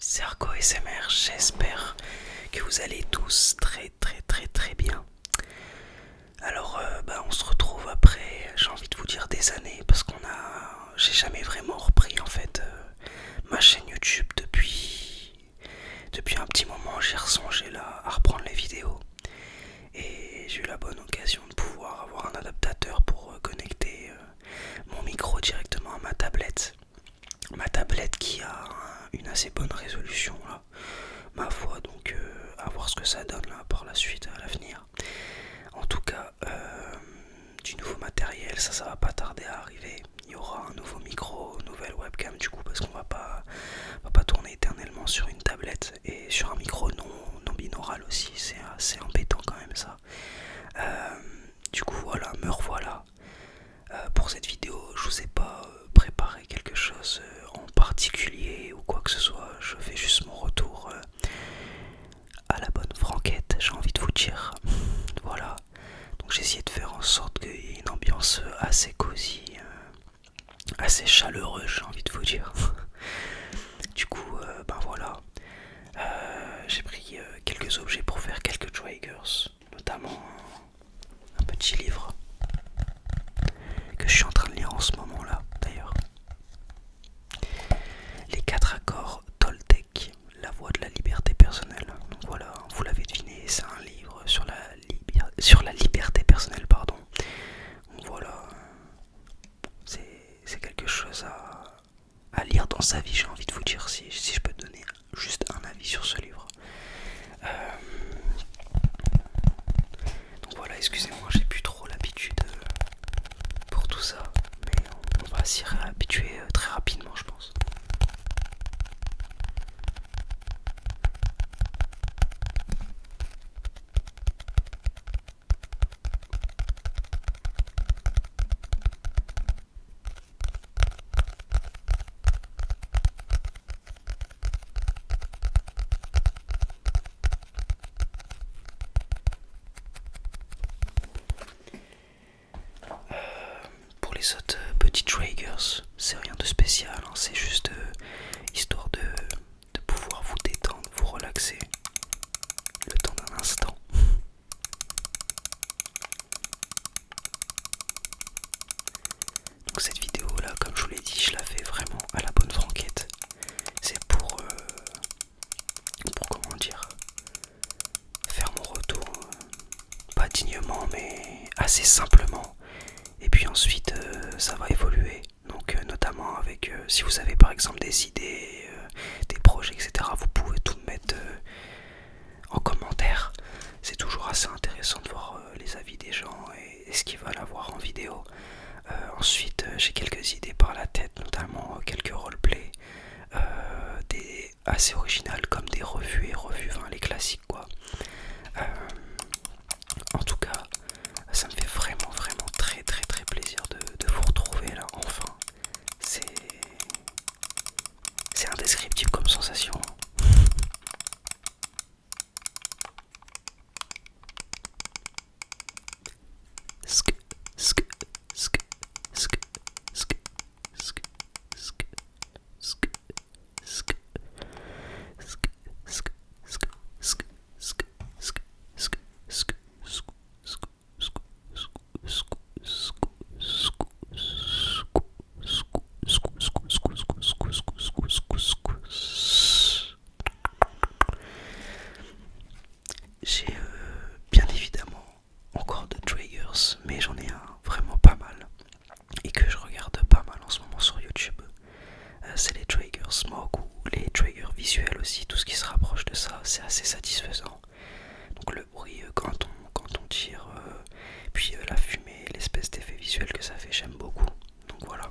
Serco SMR, j'espère que vous allez tous très très très très bien. Alors euh, bah, on se retrouve après, j'ai envie de vous dire des années parce qu'on a j'ai jamais vraiment repris en fait euh, ma chaîne YouTube depuis depuis un petit moment, j'ai ressongé là à reprendre les vidéos et j'ai eu la bonne occasion de pouvoir avoir un adaptateur pour euh, connecter euh, mon micro directement à ma tablette. Ma tablette qui a une assez bonne résolution là, ma foi donc euh, à voir ce que ça donne là par la suite à l'avenir. En tout cas, du nouveau matériel, ça ça va pas tarder à arriver. Il y aura un nouveau micro, nouvelle webcam du coup parce qu'on va pas tourner éternellement sur une tablette et sur un micro non, binaural aussi, c'est assez euh, embêtant quand même ça. Euh, du coup voilà, me revoilà. Euh, pour cette vidéo, je vous ai pas préparé quelque chose en particulier ou quoi que ce soit, je fais juste mon retour à la bonne franquette, j'ai envie de vous dire. Voilà, donc j'ai essayé de faire en sorte qu'il y ait une ambiance assez cosy assez chaleureux, j'ai envie de vous dire. du coup, euh, ben voilà, euh, j'ai pris euh, quelques objets pour faire quelques triggers, notamment un, petit livre que je suis en train de lire en ce moment-là, d'ailleurs. Les quatre accords Toltec, la voie de la liberté personnelle. Donc voilà, vous l'avez deviné, c'est un livre sur la, sur la liberté personnelle, pardon voilà, c'est quelque chose à, lire dans sa vie, j'ai envie de vous dire, si, je peux donner juste un avis sur ce livre. Euh, donc voilà, excusez-moi, j'ai plus trop l'habitude euh, pour tout ça, mais on va s'y réhabituer euh, très rapidement, je pense. Euh, pour les autres euh, petits triggers, c'est rien de spécial, hein. c'est juste euh, histoire de, pouvoir vous détendre, vous relaxer le temps d'un instant. Donc cette vidéo là, comme je vous l'ai dit, je la fais vraiment à la bonne franquette. C'est pour, euh, comment dire, faire mon retour, euh, pas dignement mais assez simplement et puis ensuite, euh, ça va évoluer. Donc, euh, notamment avec, euh, si vous avez par exemple des idées, des projets, etc., vous pouvez tout mettre en commentaire. C'est toujours assez intéressant de voir les avis des gens et, ce qu'ils veulent avoir en vidéo. ensuite, j'ai quelques idées par la tête, notamment quelques roleplays, des assez originales comme des revues et revues, les classiques quoi. Euh, en tout cas, ça me fait vraiment vraiment très très très plaisir de, vous retrouver là enfin. C'est indescriptible comme sensation sk, j'ai bien évidemment encore de triggers, mais j'en ai un vraiment pas mal et que je regarde pas mal en ce moment sur YouTube, euh, c'est les triggers smoke ou les triggers visuels aussi, tout ce qui se rapproche de ça, c'est assez satisfaisant. Donc le bruit euh, quand, on, tire, euh, puis la fumée, l'espèce d'effet visuel que ça fait, j'aime beaucoup. Donc voilà.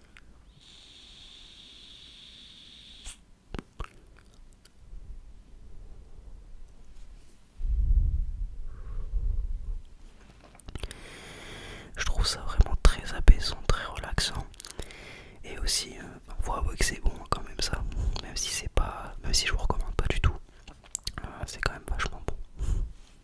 Je trouve ça vraiment très apaisant, très relaxant. Et aussi, euh, on voit que c'est bon quand même ça. Même si c'est pas. Même si je vous recommande pas du tout. Euh, c'est quand même vachement bon.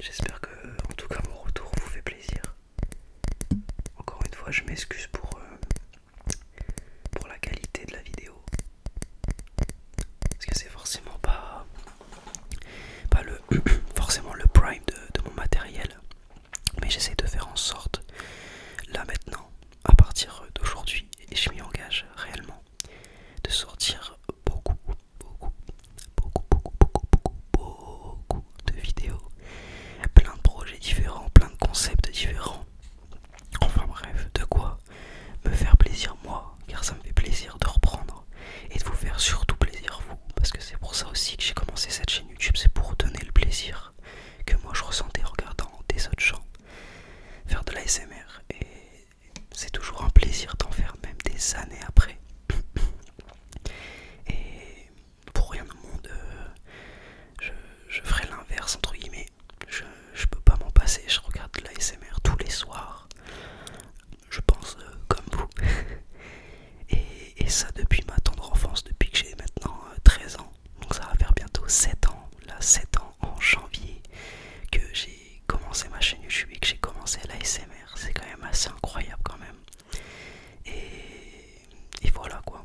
J'espère que, en tout cas, mon retour vous fait plaisir. Encore une fois, je m'excuse pour, euh, pour la qualité de la vidéo. Parce que c'est forcément pas, pas le, forcément le prime de mon matériel. Mais j'essaie de faire en sorte, là maintenant, à partir d'aujourd'hui, et je m'y engage réellement, de sortir beaucoup, beaucoup, beaucoup, beaucoup, beaucoup, beaucoup, de vidéos, plein de projets différents, plein de concepts différents. Enfin bref, de quoi me faire plaisir moi, car ça me fait plaisir de reprendre et de vous faire surtout plaisir vous, parce que c'est pour ça aussi que j'ai commencé cette chaîne YouTube, c'est pour donner le plaisir que moi je ressentais en regardant des autres gens faire de l'ASMR et c'est toujours un plaisir d'en faire même des années après et pour rien au monde euh, je, ferais ferai l'inverse entre guillemets je, peux pas m'en passer je regarde de l'ASMR tous les soirs je pense euh, comme vous Et, ça depuis ma tendre enfance, depuis que j'ai maintenant 13 euh, ans. Donc ça va faire bientôt 7 ans, là 7 ans en janvier que j'ai commencé ma chaîne YouTube que j'ai commencé l'ASMR. C'est quand même assez incroyable quand même. et voilà quoi.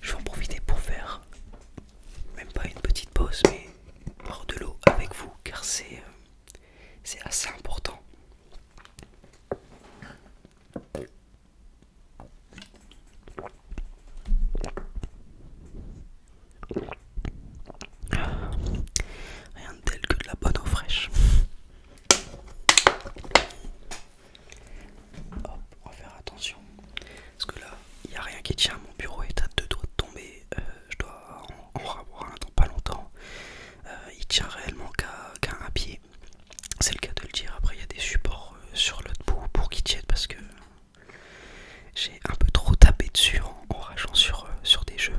Je vais en profiter pour faire même pas une petite pause, mais boire de l'eau avec vous, car c'est euh, assez important. Rien de tel que de la bonne eau fraîche. Hop, on va faire attention. Parce que là, il n'y a rien qui tient. Mon bureau est à deux doigts de tomber. Euh, je dois en, en un dans pas longtemps. Euh, il tient réellement qu'à à pied. C'est le cas de le dire. Après, il y a des supports euh, sur l'autre bout pour qu'il tienne parce que j'ai un peu trop tapé dessus en, rageant sur, sur des jeux.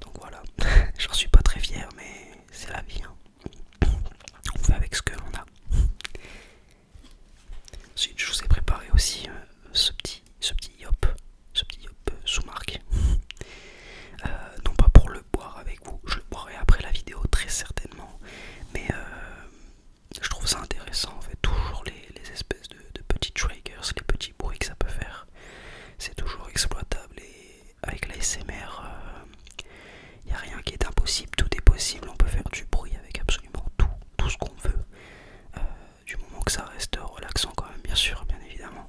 Donc voilà, j'en suis pas très fier, mais c'est la vie. Hein on fait avec ce que l'on a. Ensuite, je vous ai préparé aussi euh, ce petit yop, ce petit yop euh, sous marque. Euh, non pas pour le boire avec vous, je le boirai après la vidéo très certainement, mais je trouve ça intéressant en fait, toujours les, espèces de, petits triggers, les petits bruits que ça peut faire, c'est toujours exploitable et avec la SMR, il euh, n'y a rien qui est impossible, tout est possible, on peut faire du bruit avec absolument tout, tout ce qu'on veut, euh, du moment que ça reste relaxant quand même, bien sûr, bien évidemment.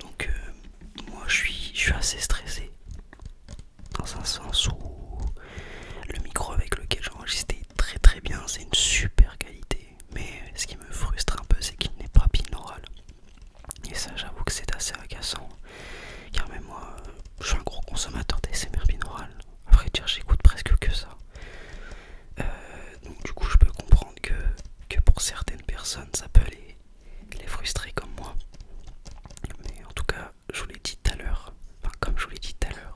Donc euh, moi je suis, je suis assez stressé dans un sens où le micro avec lequel j'enregistre est très très bien, c'est une super qualité mais ce qui me frustre un peu, c'est qu'il n'est pas binaural. Et ça, j'avoue que c'est assez agaçant, car même moi, je suis un gros consommateur d'SMR binaural. A vrai dire, j'écoute presque que ça. Euh, donc, du coup, je peux comprendre que, pour certaines personnes, ça peut les, les frustrer comme moi. Mais en tout cas, je vous l'ai dit tout à l'heure, enfin, comme je vous l'ai dit tout à l'heure,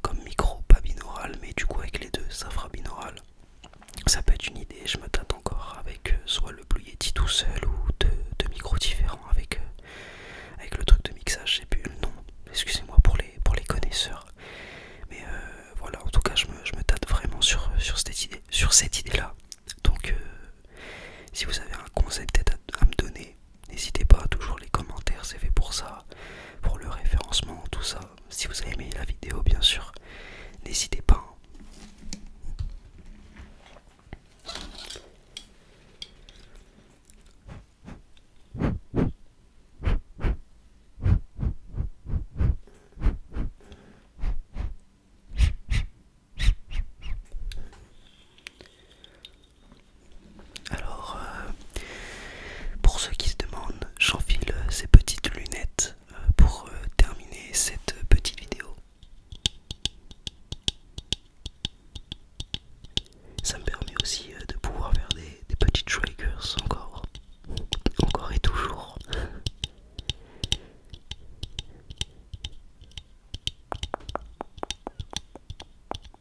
comme micro, pas binaural, mais du coup avec les deux, ça fera binaural. Ça peut être une idée, je me tâte encore avec euh, soit le Blue Yeti tout seul ou deux, micros différents avec, euh, avec le truc de mixage, j'ai plus le nom, excusez-moi pour les, connaisseurs. Mais euh, voilà, en tout cas, je me, tâte vraiment sur, cette idée Sur cette idée -là. Donc, si vous avez un conseil à, à me donner, n'hésitez pas, toujours les commentaires, c'est fait pour ça pour le référencement, tout ça. Si vous avez aimé la vidéo, bien sûr, n'hésitez pas. Alors, euh, pour ceux qui se demandent, j'enfile ces petites lunettes euh, pour euh, terminer cette petite vidéo. Ça me permet aussi de pouvoir faire des, petites triggers encore, encore et toujours.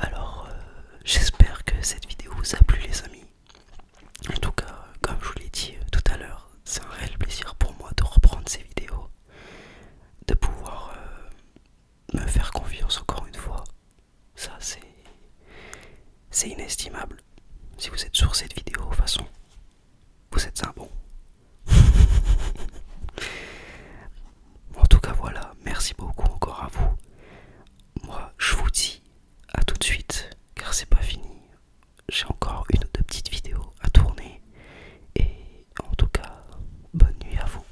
Alors, euh, j'espère que cette vidéo vous a plu, les amis. En tout cas, comme je vous l'ai dit euh, tout à l'heure, c'est un réel plaisir pour moi de reprendre ces vidéos, de pouvoir euh, me faire confiance encore une fois. Ça, c'est inestimable. Si vous êtes sur cette vidéo, de toute façon, vous êtes un bon. en tout cas, voilà. Merci beaucoup encore à vous. Moi, je vous dis à tout de suite, car c'est pas fini. J'ai encore une ou deux petites vidéos à tourner. Et en tout cas, bonne nuit à vous.